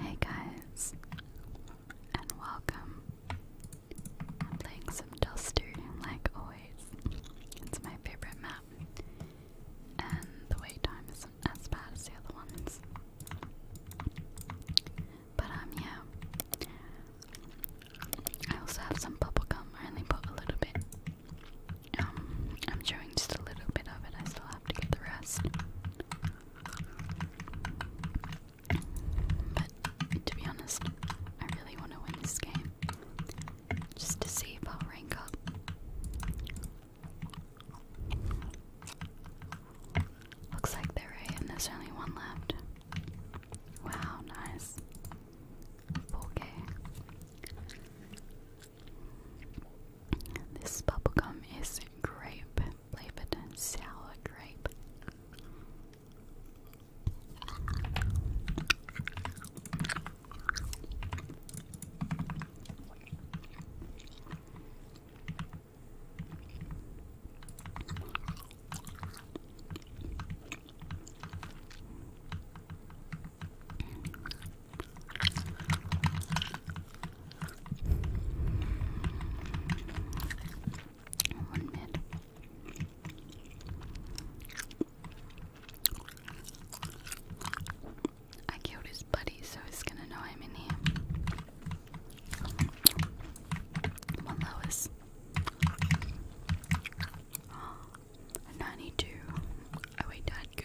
Hey guys, and welcome. I'm playing some Duster, like always. It's my favorite map, and the wait time isn't as bad as the other ones. But um, yeah. I also have some bubblegum. I only put a little bit. Um, I'm showing just a little bit of it. I still have to get the rest. But to be honest, I really want to win this game. Just to see if rank up. Looks like they're there's only one left. Wow, nice. 4K. This bubblegum is grape. Lebanon sour grape. One minute. I killed his buddy, so he's gonna know I'm in here. Come on, 92. Oh, wait, Dad, good.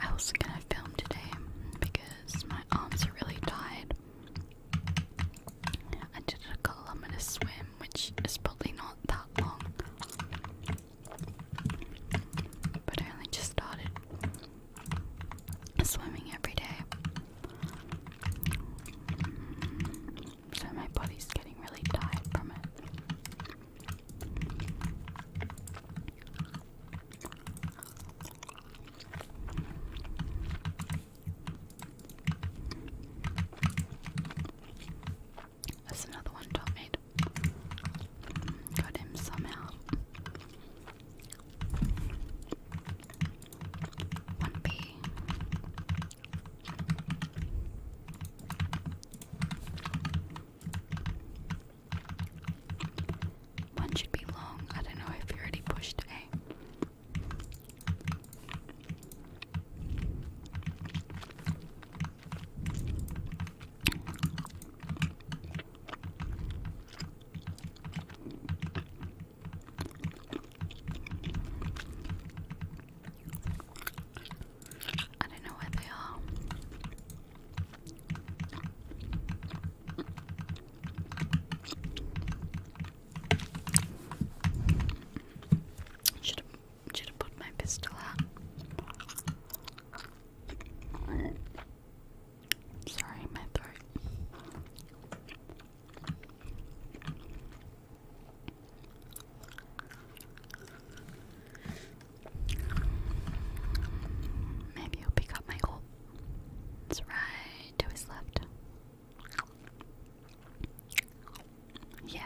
I wasn't gonna film today because my arms are really tired. I did a kilometer swim, which is probably not that long, but I only just started swimming every day. So my body's getting really tired from it. That's another one top made. Got him somehow. 1B. One should be long. I don't know if you already pushed A. I don't know where they are. Should have should have put my pistol out. Sorry, my throat. Maybe he'll pick up my goal. It's right to his left. Yeah.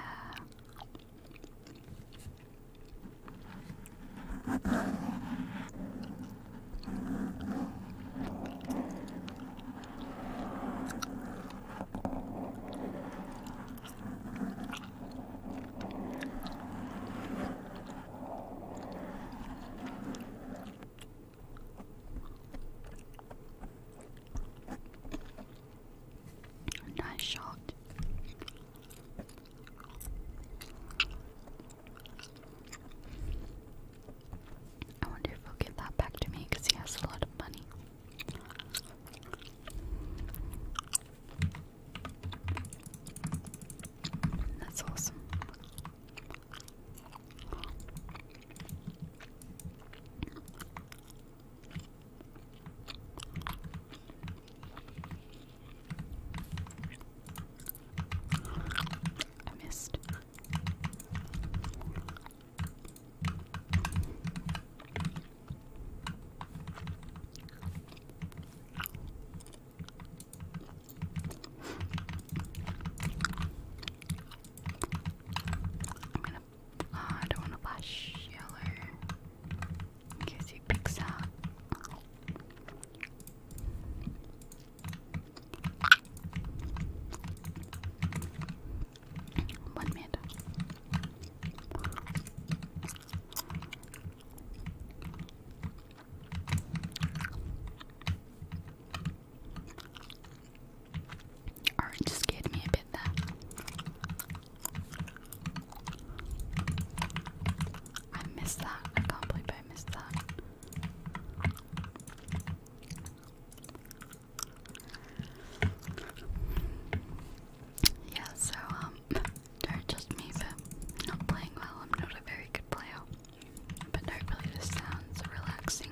Nice shot. I wonder if he'll give that back to me because he has a lot of money. That's awesome. I missed. I'm uh, don't want to flash yellow in he picks up. One minute. Orange scared me a bit there. I missed that. I can't believe I missed that. Yeah, so, um, don't just me for not playing well. I'm not a very good player. But hopefully this sounds relaxing.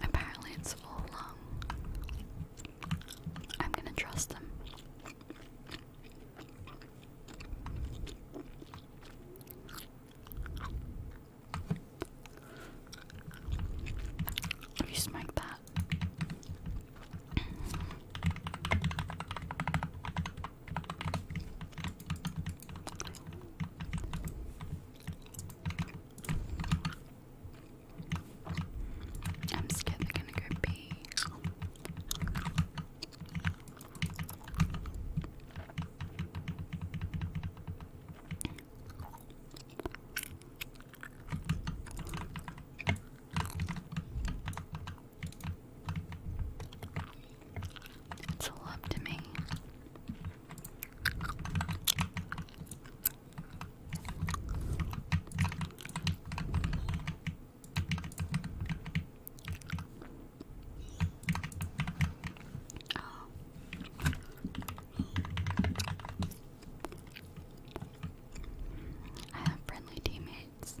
Apparently, it's all lung. Um, I'm gonna trust them. You smack that. I'm scared they're gonna go pee. It's a love to me. I have friendly teammates.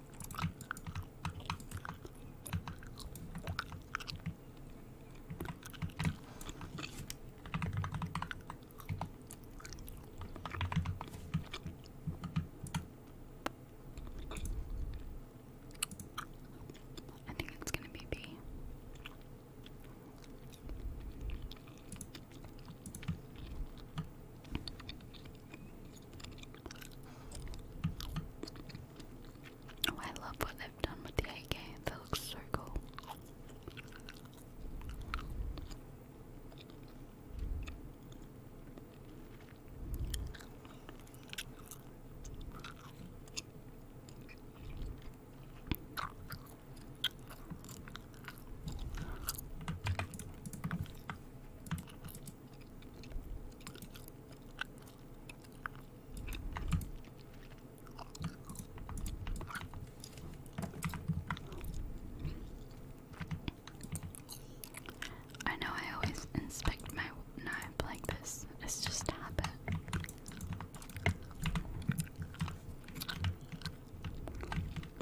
I think it's going to be B. Oh, I love what they've done with the AK. That looks so cool. I know I always inspect my knife like this, it's just a habit.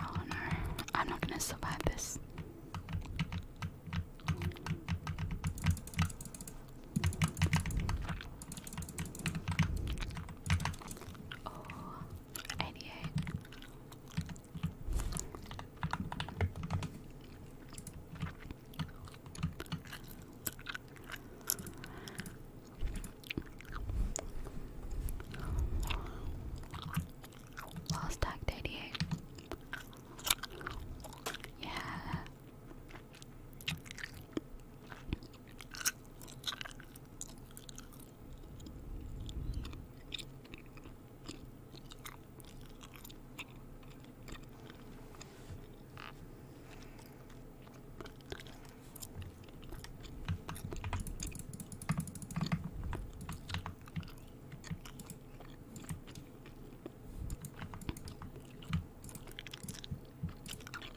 Oh no, I'm not gonna survive this. Oh, 88. Last tag 88. Yeah.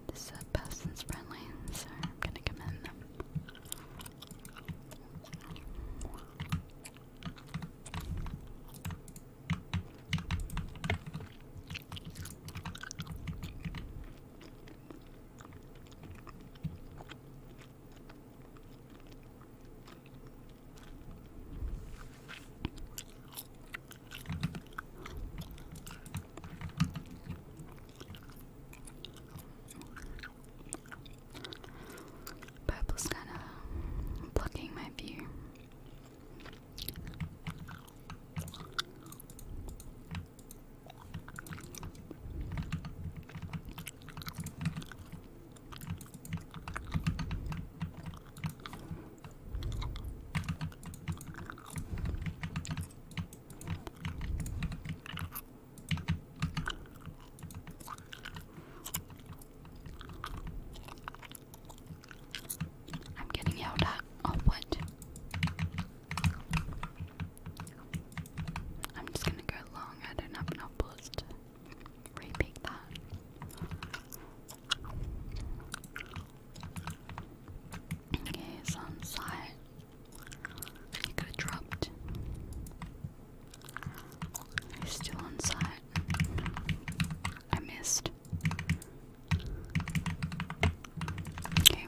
This uh, person's friendly, so I'm gonna commend them. Purple's kind of blocking my view. I'm getting yelled at. Oh, what? I'm just gonna go long, I don't have enough bullets to repeat that. Okay, it's on side. You could have dropped. He's still on side. I missed. Okay.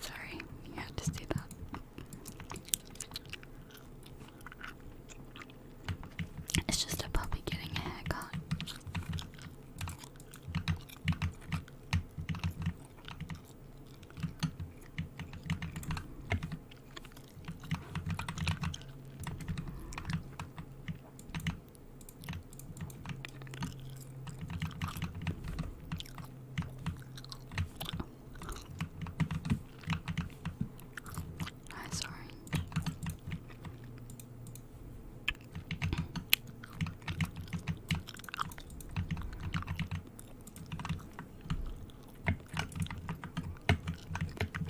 Sorry, you had to see that. It's just a puppy getting a haircut. Nice orange.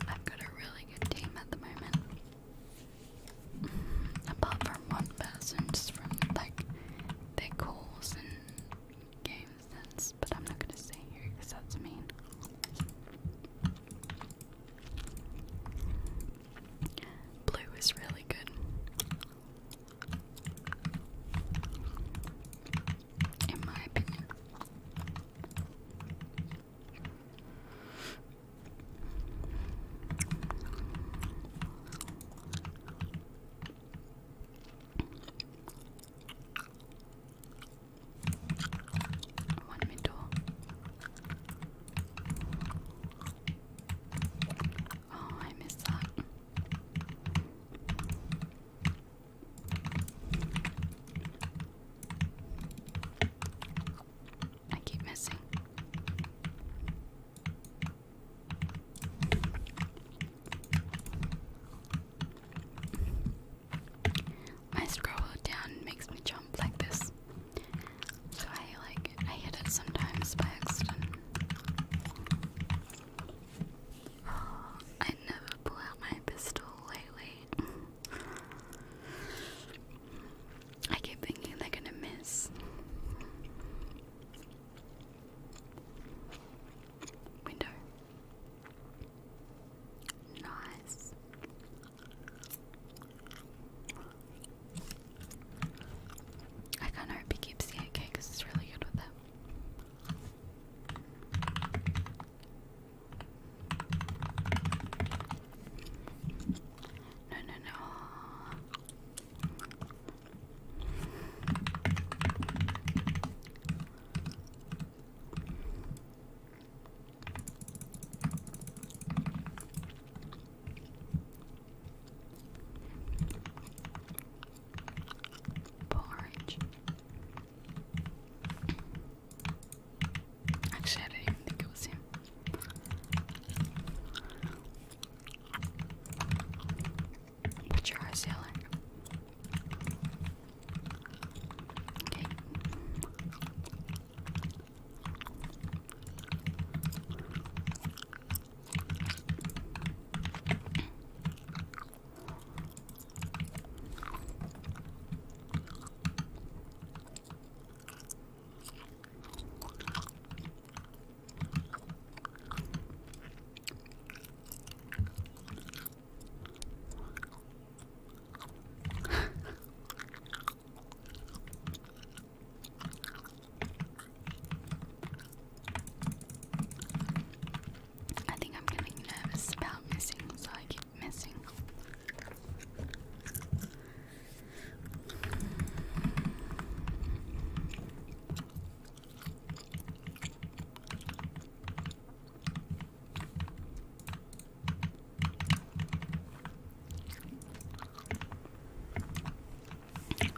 I've got a really good team at the moment. Apart from one person, just from like their calls and games, But I'm not gonna say here because that's mean. Blue is really good. In my opinion. Want me oh. oh, I missed that. I keep missing. My scroll down makes me jump like this. So I like I hit it sometimes by accident. I never pull out my pistol lately. I keep thinking they're gonna miss. Window. Nice. I kind of hope he keeps the AK it's really good with them. No, no, no. Porridge. Actually, I didn't even think it was him. Jar sealant. Okay. I think I'm getting nervous about missing, so I keep missing.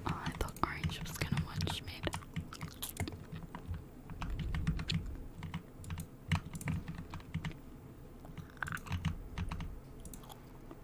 I thought orange was gonna watch me.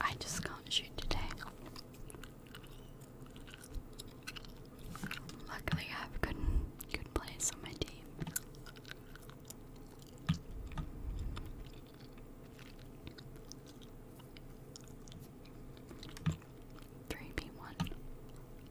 I just got a shoot today. Luckily, I have good good players on my team. Three B one.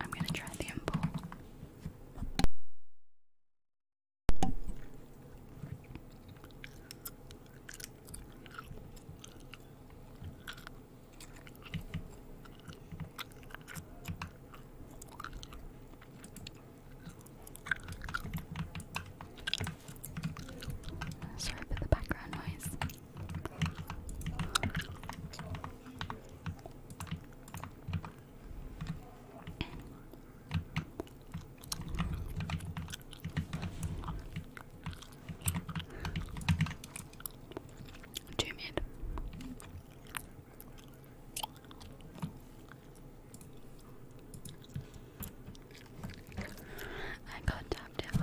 I'm going to try the impulse. Sorry for the background noise. Two mid. I got tapped out.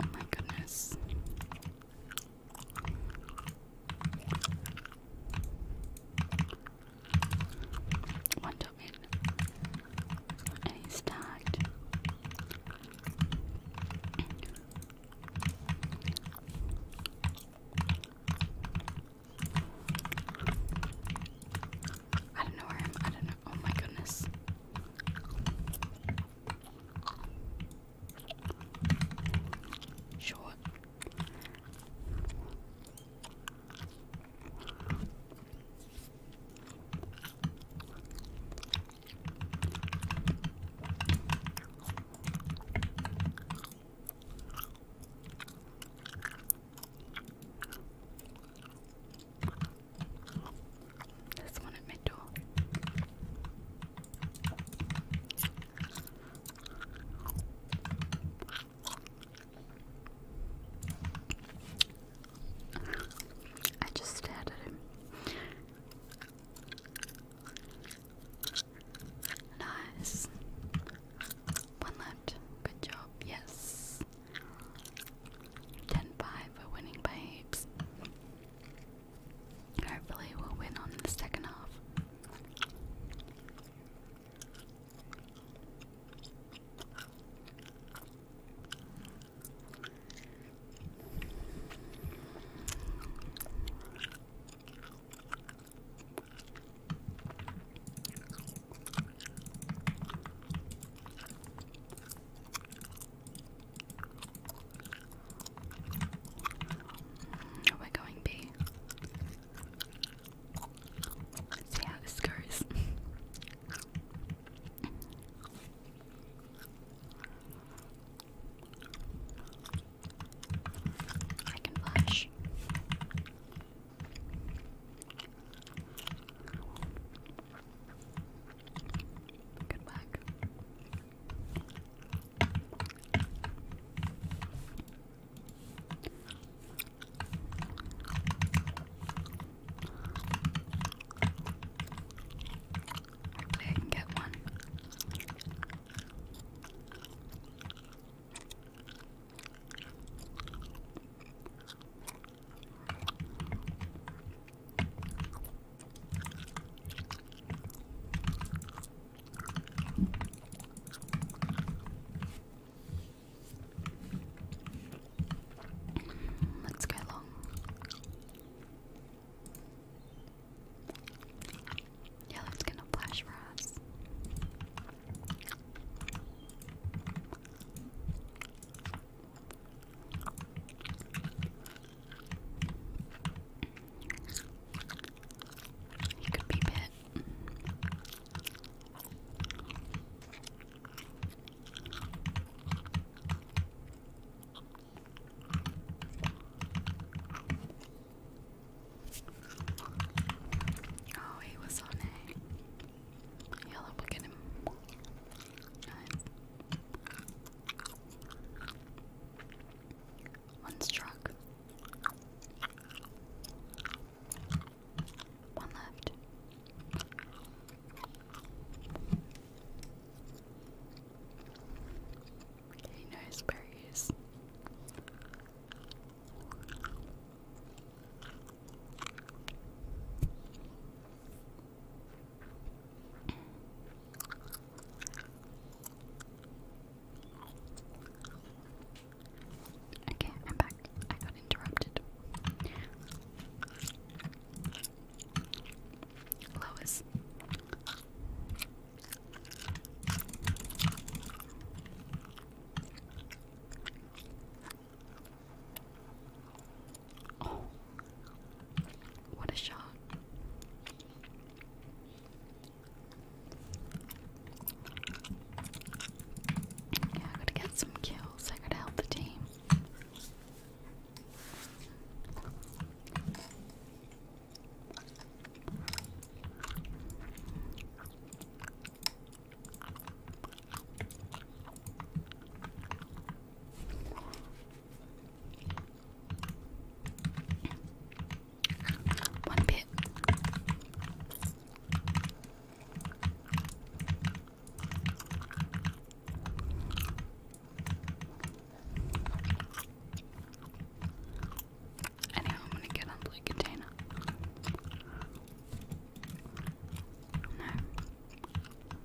Oh my goodness. One domain. And he's tagged. I don't know where I'm. I don't know. Oh my goodness. Short. This one in middle. I just stared at him. Nice. One left. Good job. Yes. 10 We're winning by heaps. Hopefully, we'll win on the second half we going B. See how this goes. I can flash. Good luck. Hopefully get one. Let's go long. Yeah, that's gonna flash for us. You can beep it. Oh, he was on A. Yellow, look at him. One struck. One left. nice berries. Okay, I'm back. I got interrupted. Lois. Oh. what a shot. Yeah, I gotta get some kills. I gotta help the team. One bit. Anyhow, I'm gonna get onto the container. No.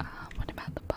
Um, what about the bone?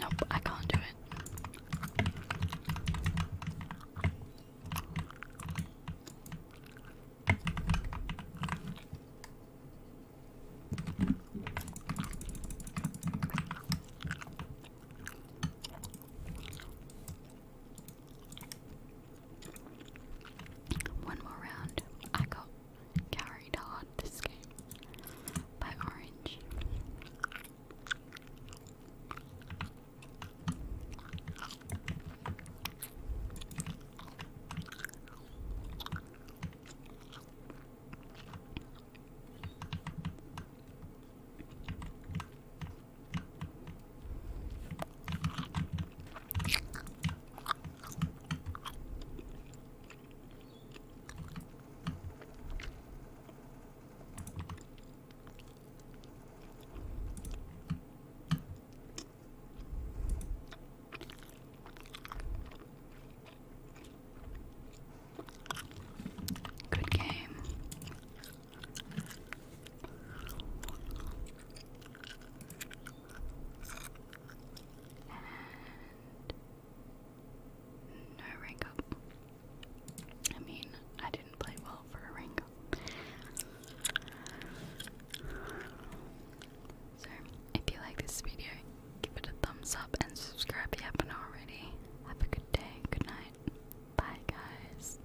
Nope, I can't do it. One more round. I got carried hard this game by Orange. Good game no rank I mean, I didn't play well for a rank So, if you like this video, give it a thumbs up and subscribe if you haven't already. Have a good day, good night. Bye, guys.